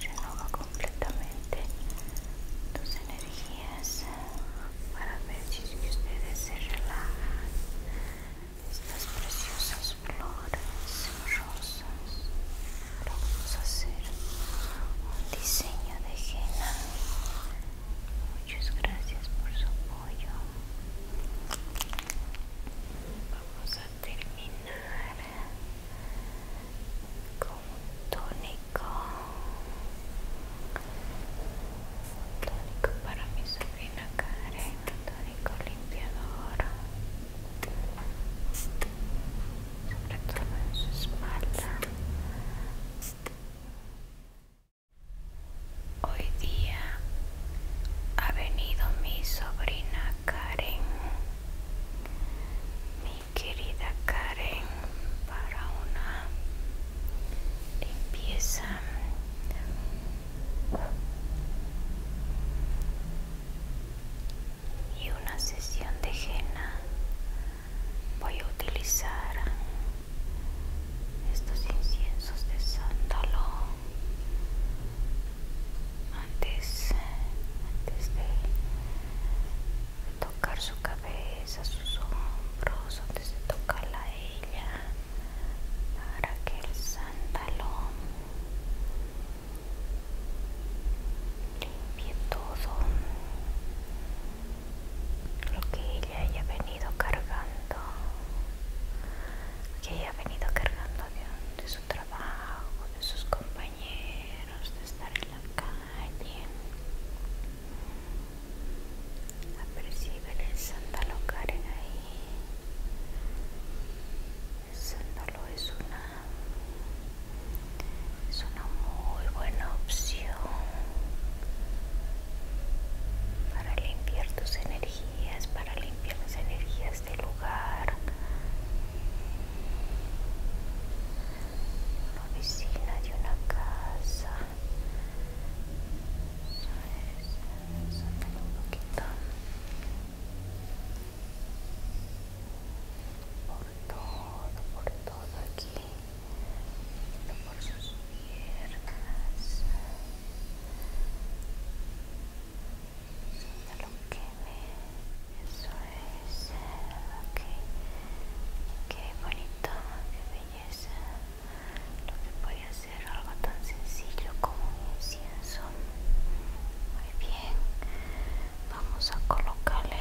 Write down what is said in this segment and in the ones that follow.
Renova completamente tus energías para ver si ustedes se relajan. Estas preciosas flores rosas. Ahora vamos a hacer un diseño de henna Muchas gracias por su apoyo. Vamos a terminar con un tónico. Un tónico para mi sobrina Karen. Un tónico limpiador. Sobre todo en su espalda. Hoy día ha venido mi sobrina Karen, mi querida Karen, para una limpieza. Y una sesión de henna voy a utilizar estos inciensos de sándalo antes, antes de tocar su cabeza, sus hombros, antes de tocarla ella, para que el sándalo limpie todo lo que ella haya venido cargando, que ella ha venido cargando de, su trabajo, de sus compañeros, de estar en la calle. Aperciben el sándalo Karen ahí. El sándalo es una, es una muy buena opción para limpiar tus energías, para limpiar las energías del lugar, una oficina de una casa. por todo, por todo aquí por sus piernas lo que eso es ok qué bonito qué belleza lo que puede hacer algo tan sencillo como un incienso muy bien vamos a colocarle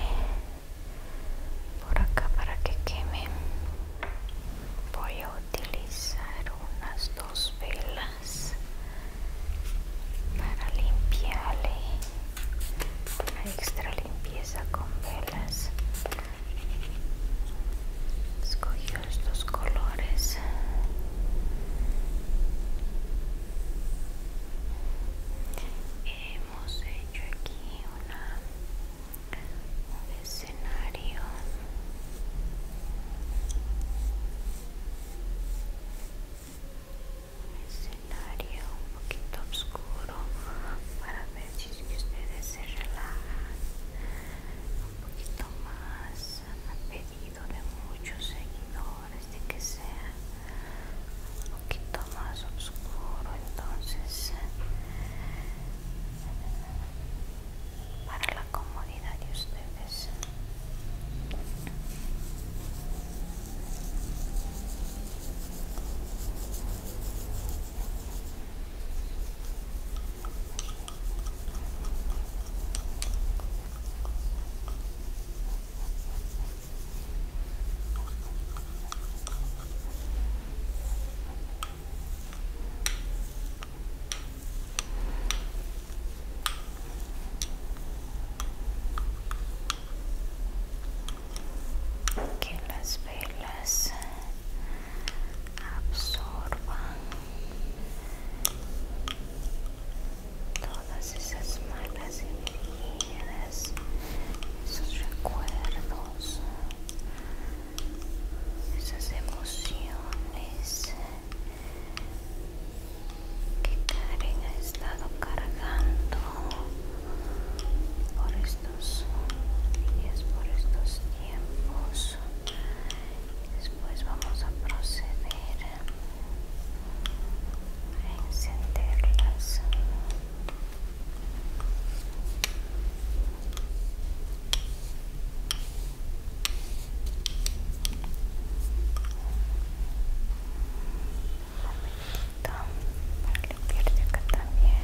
por acá para que queme voy a utilizar unas dos velas para limpiarle una extra limpieza con velas escogió estos colores hemos hecho aquí una escenario un escenario un poquito oscuro para ver si ustedes se relajan un poquito más han pedido de muchos seguidores de que sea un poquito más oscuro entonces eh, para la comodidad de ustedes que las velas absorban todas esas malas energías esos recuerdos esas emociones que Karen ha estado cargando por estos días, por estos tiempos. Después vamos a proceder a encenderlas para limpiar acá también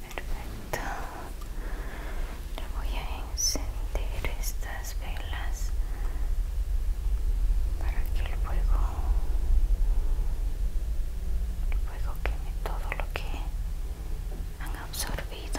Perfecto. Le voy a encender estas velas para que el fuego, el fuego queme todo lo que han absorbido.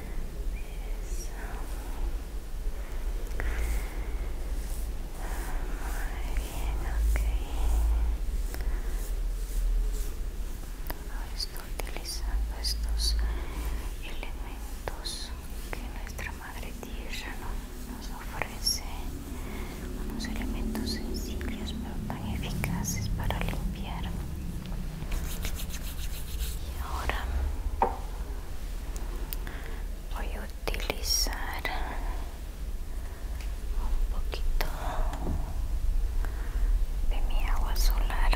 estoy utilizando estos elementos que nuestra madre tierra nos ofrece unos elementos sencillos pero tan eficaces para limpiar E agora vou utilizar um poquito de minha agua solar.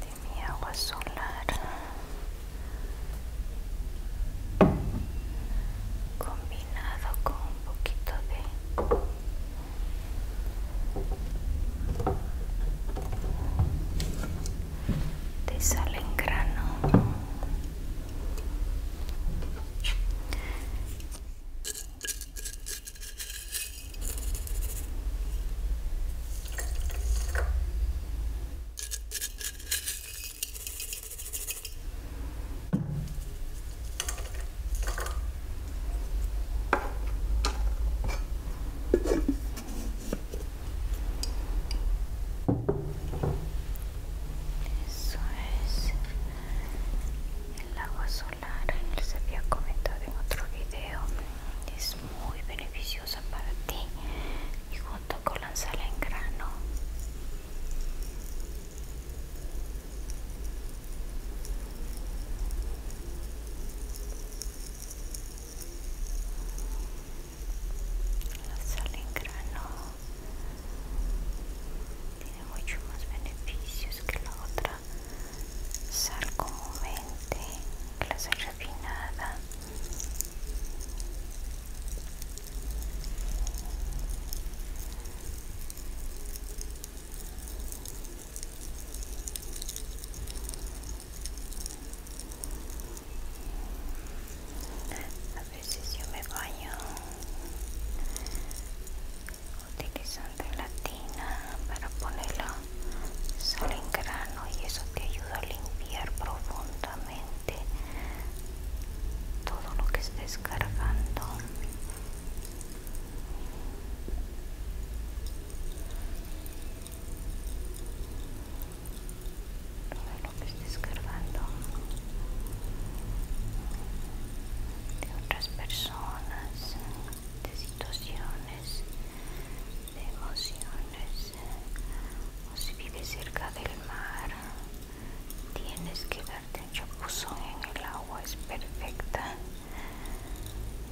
de minha agua solar combinado con un poquito de de sal en grano eso es el agua solar, les había comentado en otro video, es muy beneficiosa para ti, y junto con la sal en grano la sal en grano tiene muchos más beneficios que la otra sal comúnmente la sal refinada a veces yo me baño utilizando latina para ponerlo solo en grano y eso te ayuda a limpiar profundamente todo lo que estés cargando todo lo que estés cargando de otras personas de situaciones de emociones o si vives cerca del mar tienes que darte un chapuzón en el agua es perfecta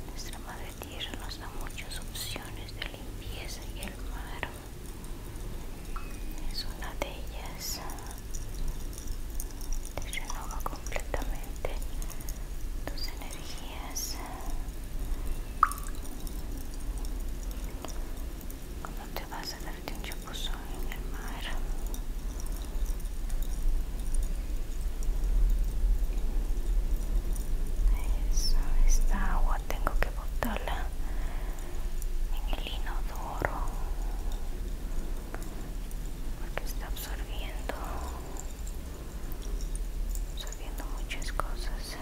nuestra madre tierra nos da muchas opciones de limpieza y el mar es una de ellas te renova completamente tus energías ¿Cómo te vas a darte un chapuzón en el mar? Eso, esta agua tengo que botarla en el inodoro porque está absorbiendo viendo muchas cosas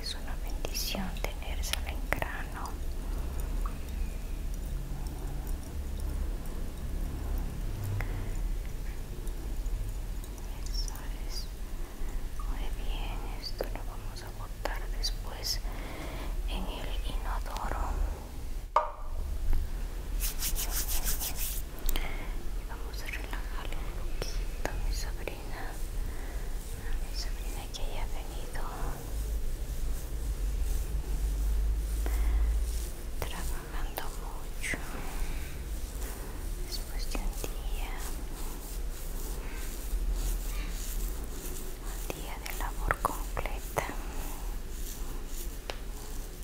es una bendición tenerse en grano muy bien esto lo vamos a botar después en el inodoro Vamos a relajarle un poquito a mi sobrina, mi sobrina que haya venido trabajando mucho después de un día, un día de labor completa.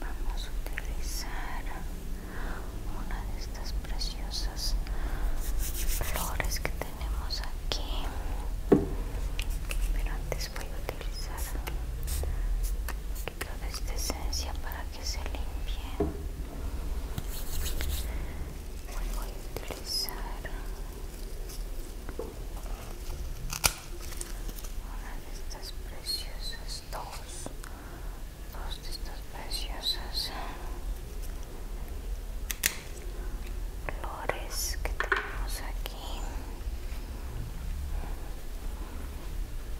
Vamos a utilizar una de estas preciosas flores que te tenemos aquí pero antes voy a utilizar un de esta esencia para que se limpie voy a utilizar una de estas preciosas dos dos de estas preciosas flores que tenemos aquí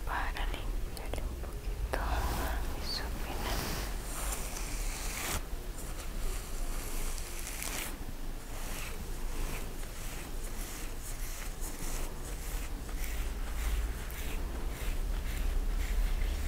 para limpiar un poquito mis opinas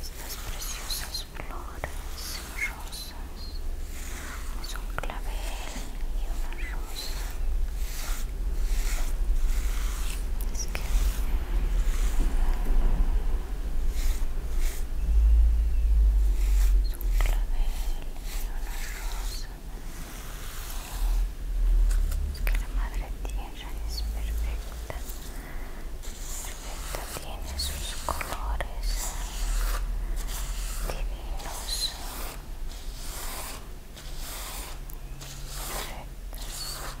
estas preciosas flores rosas es un clavel y una rosa es que es un clavel y una rosa es que la madre tiene madera es perfecta perfecta tiene sus colores divinos perfectos Perfecto.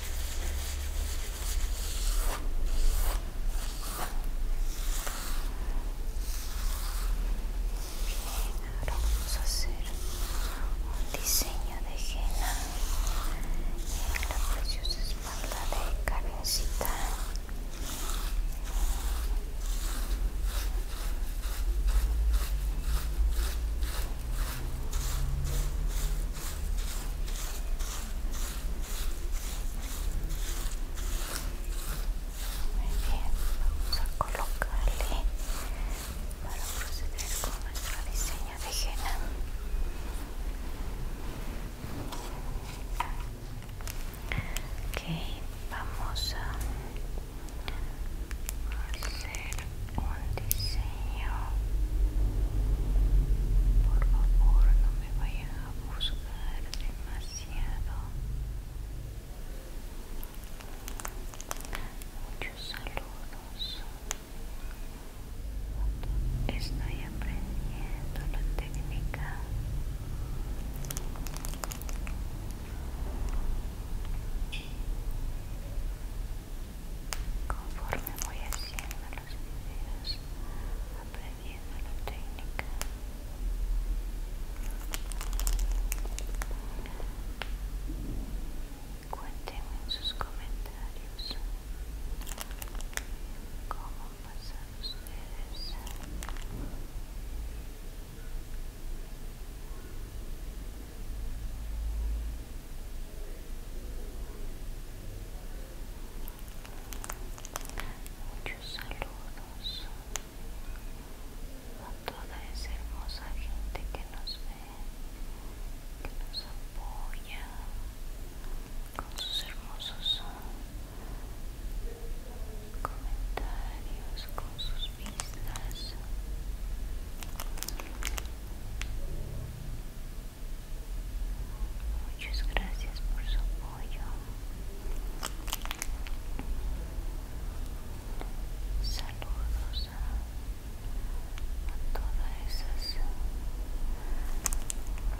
Bien, ahora vamos a hacer un diseño de henna en la preciosa espalda de Karencita muy bien, vamos a colocarle para proceder con nuestro diseño de henna. Ok, vamos a hacer un diseño por favor no me vaya a buscar demasiado muchos saludos estoy aprendiendo la técnica Conforme voy haciendo los videos, aprendiendo la técnica, cuéntenme en sus comentarios cómo pasan ustedes Muchos saludos a toda esa hermosa gente que nos ve, que nos apoya con sus hermosos comentarios, con sus vistas. Muchas gracias por su apoyo. Saludos a, todas esas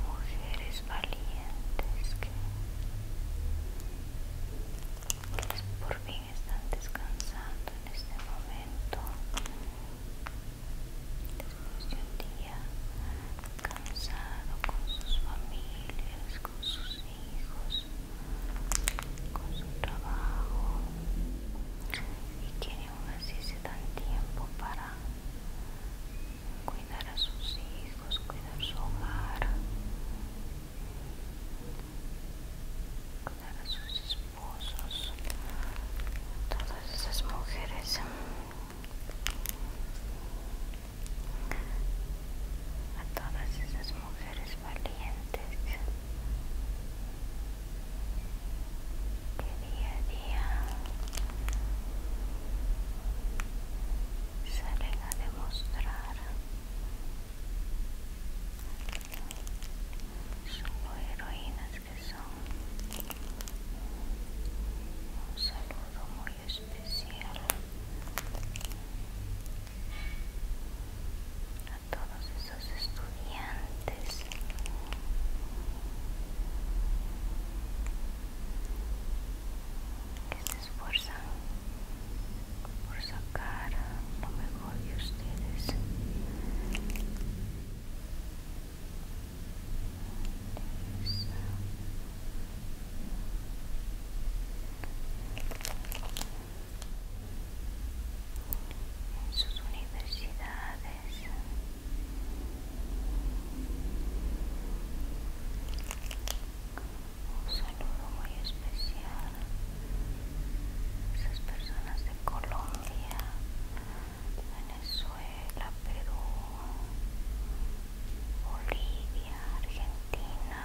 mujeres valientes que por están descansando en este momento después de un día cansado con sus familias con sus hijos con su trabajo y tienen aún así tiempo para cuidar a sus hijos cuidar su hogar cuidar a sus esposos a todas esas mujeres. A todas esas mujeres valientes que día a día salen a demostrar son heroínas que son un saludo muy especial a todos esos estudiantes que se esfuerzan por sacar lo ustedes. En sus universidades. Un saludo muy especial esas personas de Colombia, Venezuela, Perú, Bolivia, Argentina,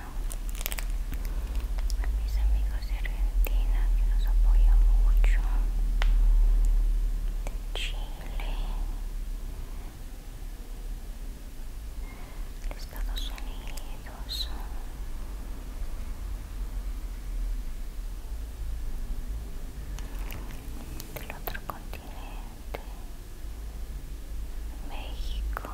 mis amigos de Argentina que nos apoyan mucho, Chile, Estados Unidos el Del otro continente, México.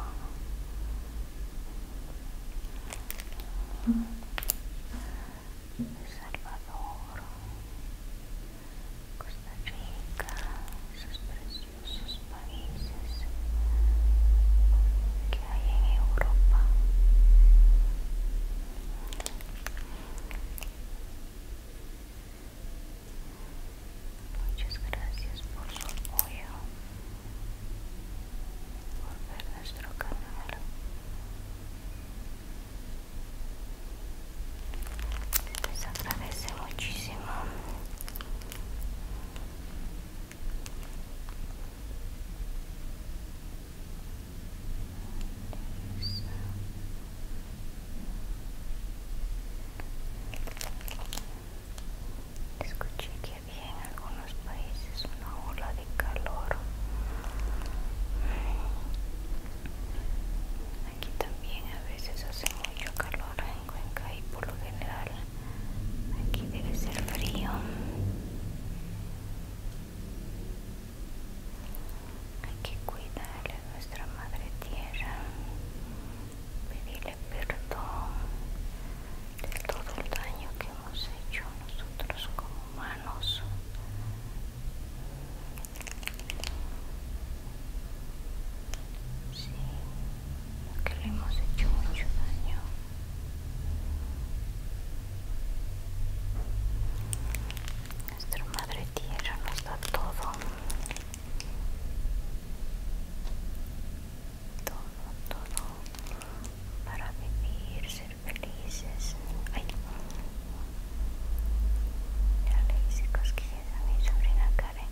El Salvador, Costa Rica, esos preciosos países hay en Europa. Muchas gracias por su apoyo, por ver nuestro canal. Les agradece muchísimo Escuché que había en algunos países una ola de calor. Aquí también a veces hace mucho calor en Cuenca y por lo general Aquí debe ser frío. Hay que cuidarle a nuestra madre tierra, pedirle perdón de todo el daño que hemos hecho nosotros como humanos. Sí, que le hemos hecho mucho daño. Nuestra madre tierra nos da todo. Todo, todo. Para vivir, ser felices. Ay. Ya le hice cosquillas a mi sobrina Karen.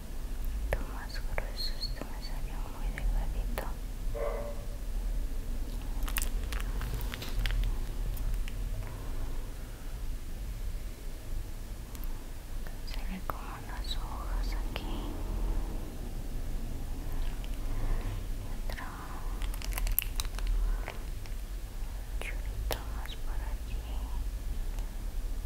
Tú más grueso, esto me salió muy delgadito. ve como las hojas aquí. Otra chulito más por aquí.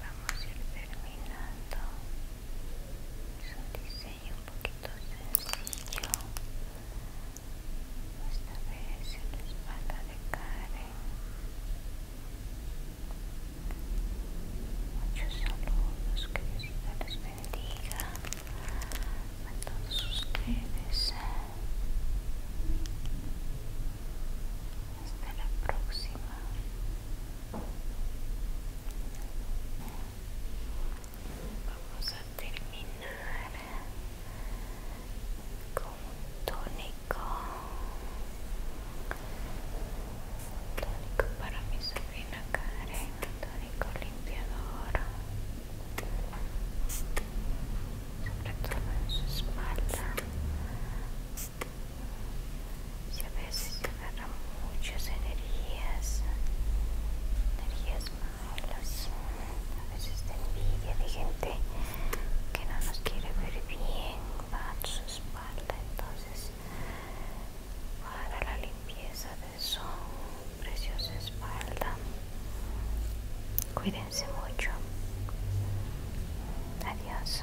Vamos a ir terminando. Es un diseño un poquito sencillo. Esta vez en la espalda de Karen. Muchos saludos, queridos bendiga a todos ustedes. Hasta la próxima. Vamos a terminar con un tónico. Un tónico para mi sobrina Karen tónico limpiador sobre todo en su espalda si a veces agarra muchas energías energías malas a veces de envidia de gente que no nos quiere ver bien va su espalda entonces para la Piesa de su preciosa espalda. Cuídense mucho. Adiós.